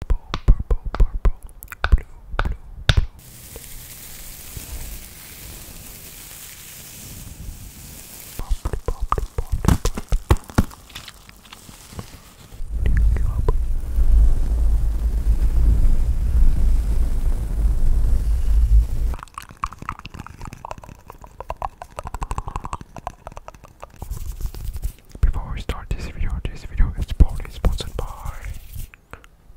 purple, purple, purple, blue, blue, blue. Pop, pop, pop, pop. Take you up. Before we start this video, this video is proudly sponsored by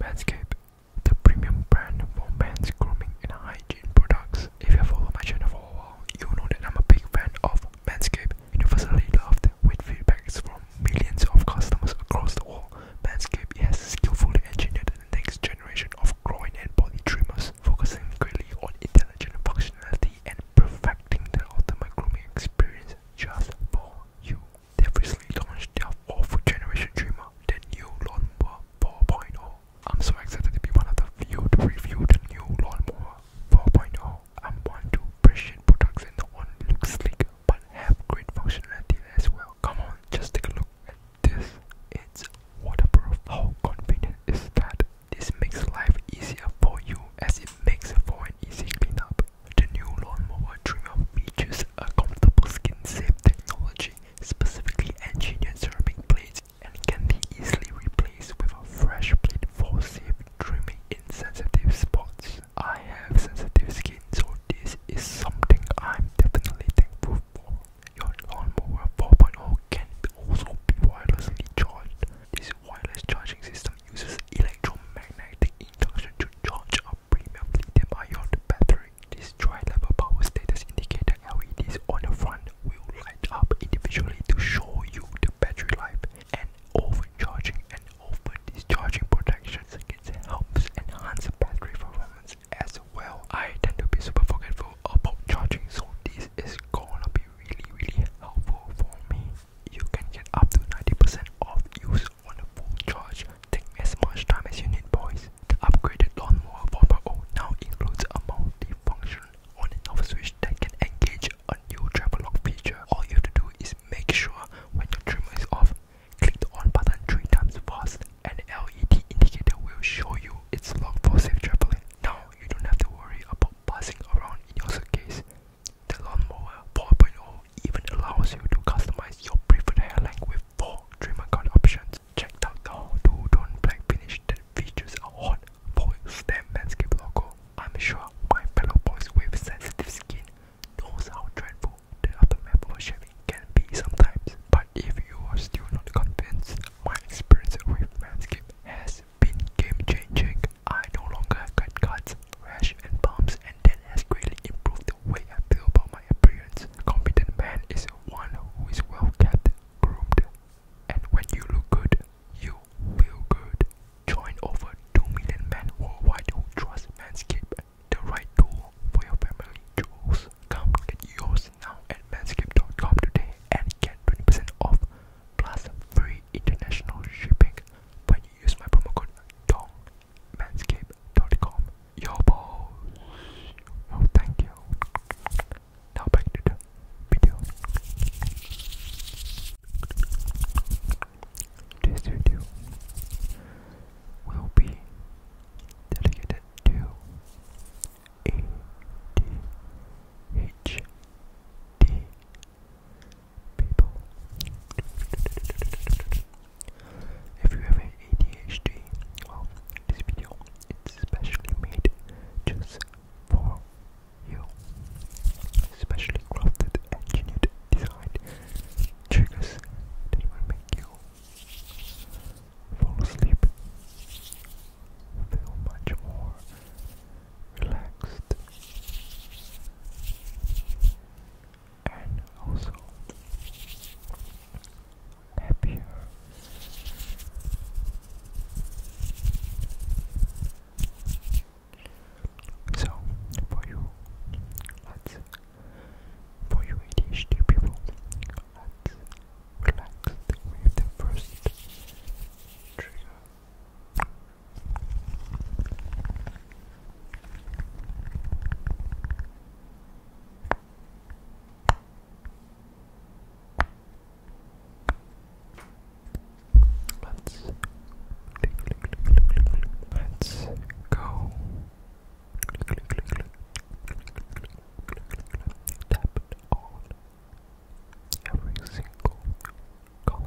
Manscaped, the premium brand for men's grooming and hygiene products. If you follow my channel for a while, you know that I'm a big fan of Manscaped, universally loved with feedbacks from millions of customers across the world. Manscaped has skillfully engineered the next generation of groin and body trimmers, focusing greatly on intelligent functionality and perfecting the ultimate grooming experience just for you. they launched their fourth generation trimmer, the new Lawnmower 4.0. I'm so excited to be one of the few to review the new Lawnmower 4.0. I'm going to appreciate products that not only look sleek but have great functionality as well. Come on, just take a look at this. It's waterproof. How convenient is that? This makes life easier for you as it makes for an easy cleanup. The new lawn mower trimmer features a comfortable skin-safe technology, specifically engineered ceramic blades, and can be easily replaced with a fresh blade for safe trimming sensitive spots. I have sensitive skin, so this is something I'm definitely thankful for. Your lawn mower 4.0 can also be wirelessly charged, this wireless charging system uses electromagnetic induction to charge a premium lithium-ion battery. This tri-level power status indicator LEDs on the front will light up individually to show you the battery life and overcharging and over-discharging protection circuits helps enhance battery performance as well. I tend to be super forgetful about charging so this is gonna be really really helpful for me you can get up to 90% off use on a full charge. Take as much time as you need boys. The upgraded lawnmower 4.0 now includes a multi-function on and off switch that can engage a new travel lock feature. All you have to do is make sure when your trimmer is off, click the on button 3 times fast and the LED indicator will show you it's locked for safe traveling. Now you don't have to worry about passing around in your suitcase. The Lawnmower 4.0 even allows you to customize your preferred hair length with 4 trimmer cut options. Check out the two tone black finish that features a hot foil stem landscape logo. I'm sure my fellow boys with sensitive skin knows how dreadful the aftermath of shaving can be sometimes. But if you are still not convinced, my experience with Manscaped has been game changing. I no longer have cuts, rash, and bumps, and that has greatly improved the way I feel about my appearance. A competent man is one who is well kept, groomed, and when you look good, you feel good. Join over 2 million men worldwide who trust manscape the right tool for your family jewels. Come get yours now at Manscape.com today and get 20% off plus free international shipping when use my promo code DongManscape.com. Yo, boss. Oh, thank you. Now back to the video. This video will be dedicated to ADHD people. If you have ADHD, this video is specially made just for you. Specially crafted, engineered, designed triggers that make you fall asleep, feel much more relaxed and also happier. So, for you, for you ADHD people, let's relax with the first trigger. Let's let's go. Tap on every single color.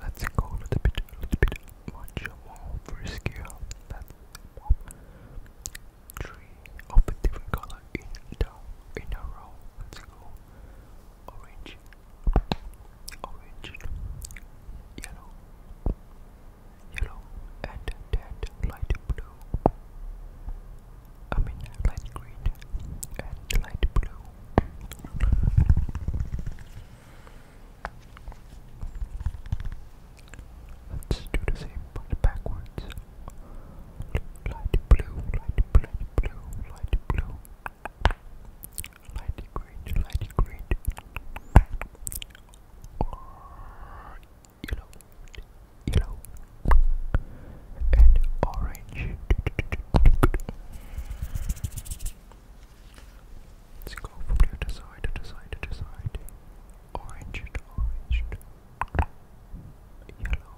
Let's go a little bit, a little bit more frisky three of a different color in a row. orange, orange, yellow, yellow, and light blue. I mean light green and light blue. Let's do the same but backwards. Light blue, light blue, light blue, light blue. Light green, light green. Or yellow, yellow. And orange. Let's go from the other side, other side, other side orange, orange, yellow,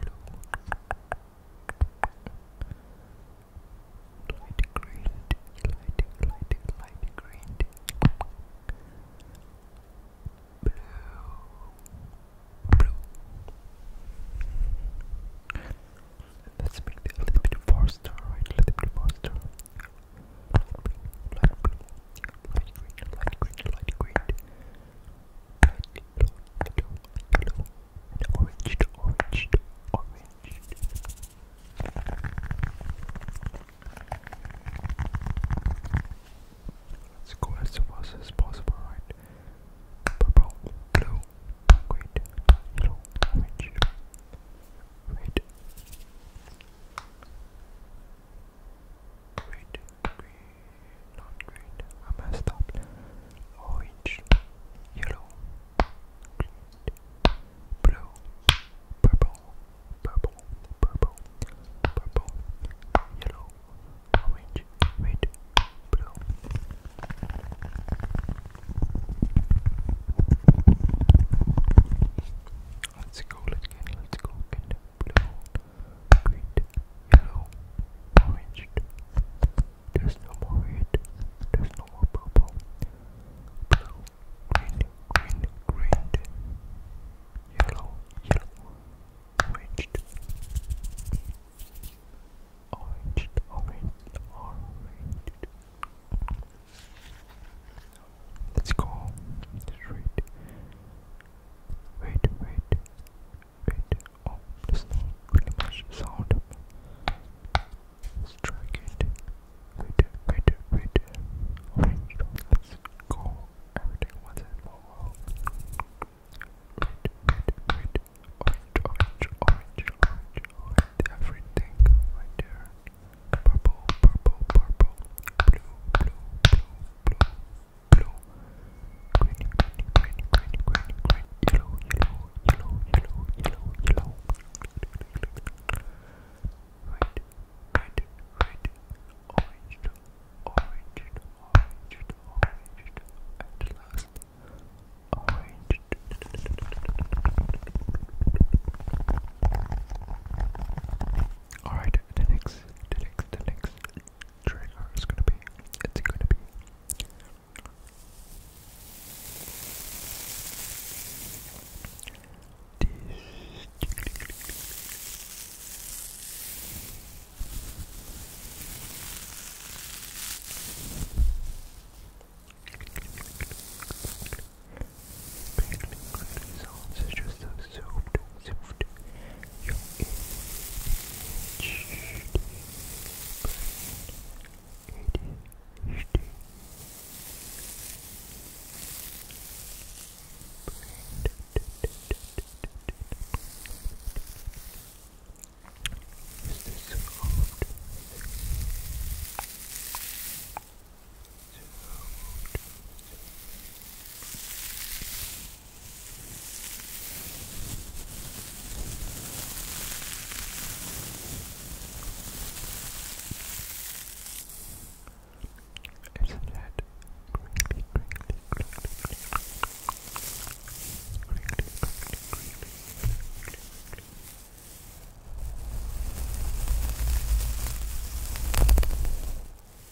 yellow, light green, light, light, light green, blue, blue. Let's make it a little bit faster, right? A little bit faster light blue, light green, light green, light green, light yellow, yellow, yellow, and orange, to orange, to orange. Let's go as fast as possible, right? Purple, blue, green, yellow, orange, red. Great, green, not green, I messed up. Orange, yellow, green, blue, purple, purple, purple, purple, yellow, orange, red, blue. Let's go, let's get, let's go, get blue, green, yellow, orange. There's no more red, there's no more purple. Blue, green, green, green, yellow, yellow, orange, orange, orange, orange. Let's go. wait. Wait, wait, Oh, there's not really much sound. Let's try it. Wait, wait, wait. Alright, let's go. Everything was in Wait, wait, wait. Orange, orange, orange, orange, Everything right purple, purple, purple, blue, blue, blue, blue, blue, green, green, green, green, green, green, yellow, yellow, yellow, yellow, yellow, yellow, red, red, red, orange, orange, orange, orange, and last, orange. Alright, the next, the next, the next trigger is gonna be, it's gonna be. Crinkling, crinkly sounds such as the soft, soft, your Is this so isn't that creepy, creepy, creepy, creepy, creepy, creepy, creepy. Hello,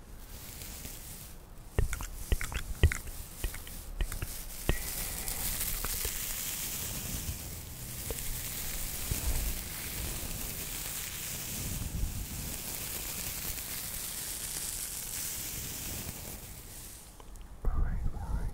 Very, very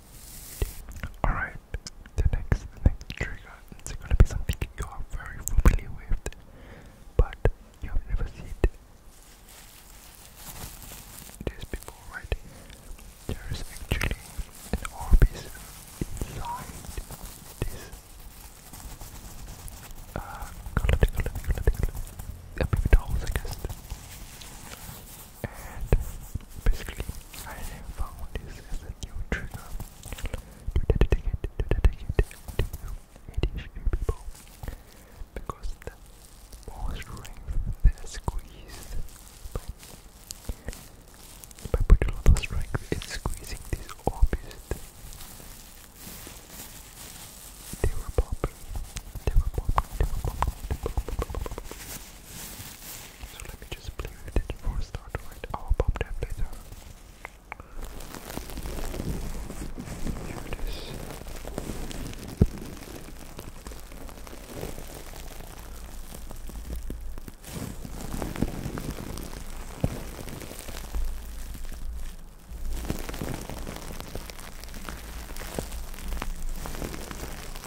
Alright, the next trigger is gonna be something you are very familiar with, but you have never seen this before, right? There is actually an orb inside this uh color, color, color, color. A bit holes, I guess and basically I have found this as a new trigger to dedicate to people because the more strength that squeeze by if a lot of strength in squeezing these orbits, they will pop, they will pop, they will pop, so let me just play with it for a start, right? I'll pop that later. Here it is.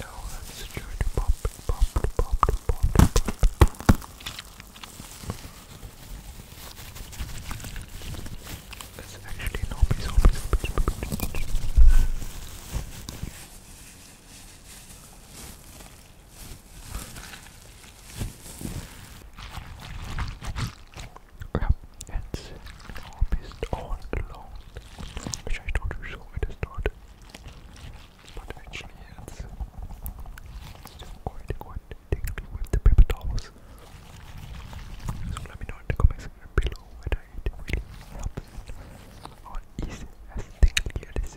Now let's try to pop, pop, pop, pop, pop. Let's actually no piece of Yep, and sin harvest all alone, which I told you so it is But actually, it's quite, quite tingly with the paper towels. So let me know in the comment section below whether it really helps or is as tingly as it is.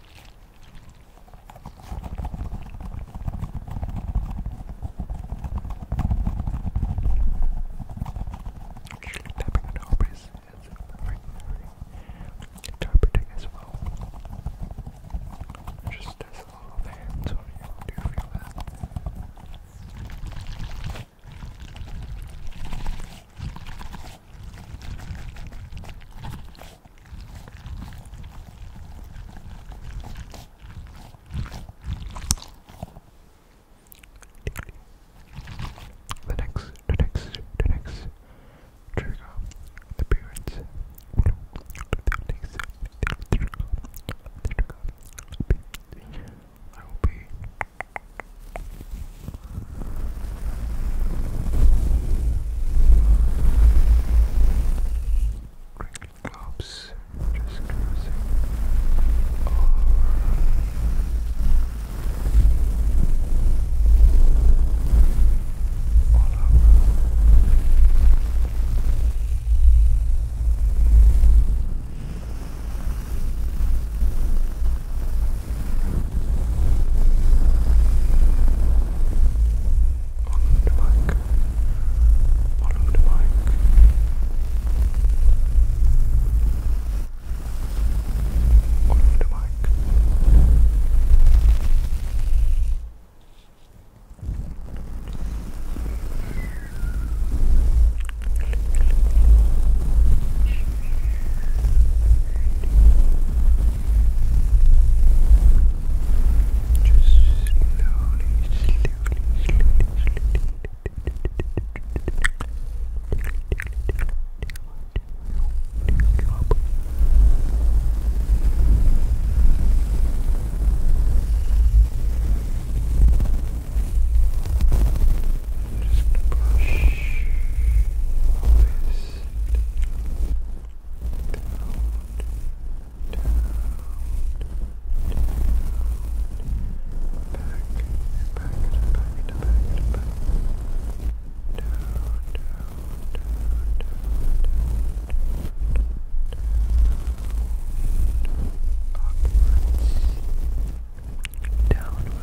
Tapping on Aubrey's is very, very interpreting as well. Just as a little band, so you feel that. The next, the next, the next trigger appearance. I will be Crinkly globes just cruising over. All over. All over. On the mic. Bottom the mic. On the mic. Click, click. Just slowly, slowly, slowly, slowly, downwards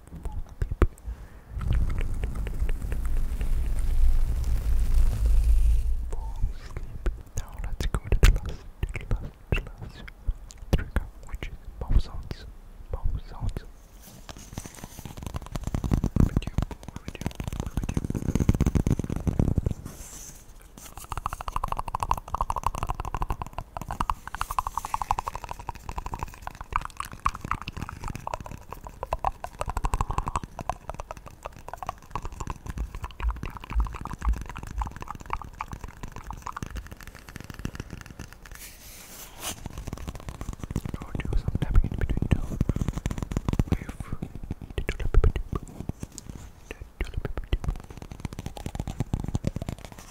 asleep. Now let's go to the last, to the last, to the last trigger, which is mouth sounds. Mouth sounds. With you, with you, with you. Mouth sounds. Or do some tapping in between two with the tulip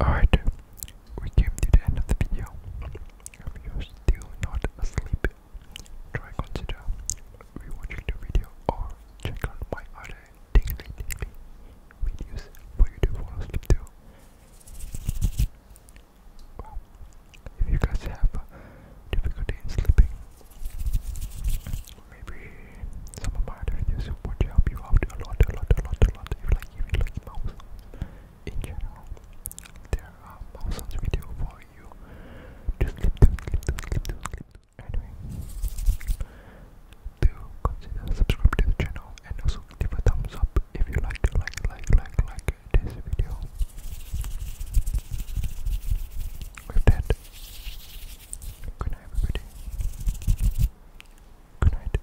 Alright, we came to the end of the video. If you're still not asleep, try consider rewatching the video or check out my other daily videos for you to fall if you guys have difficulty in sleeping, maybe some of my other videos would help you out a lot, a lot, a lot, a lot. If like even like mouse in general, there are thousands of for you to click to, click to, click to, click to. Anyway, do consider subscribe to the channel and also give a thumbs up if you like, like, like, like, like this video. With that, good night everybody. Good night.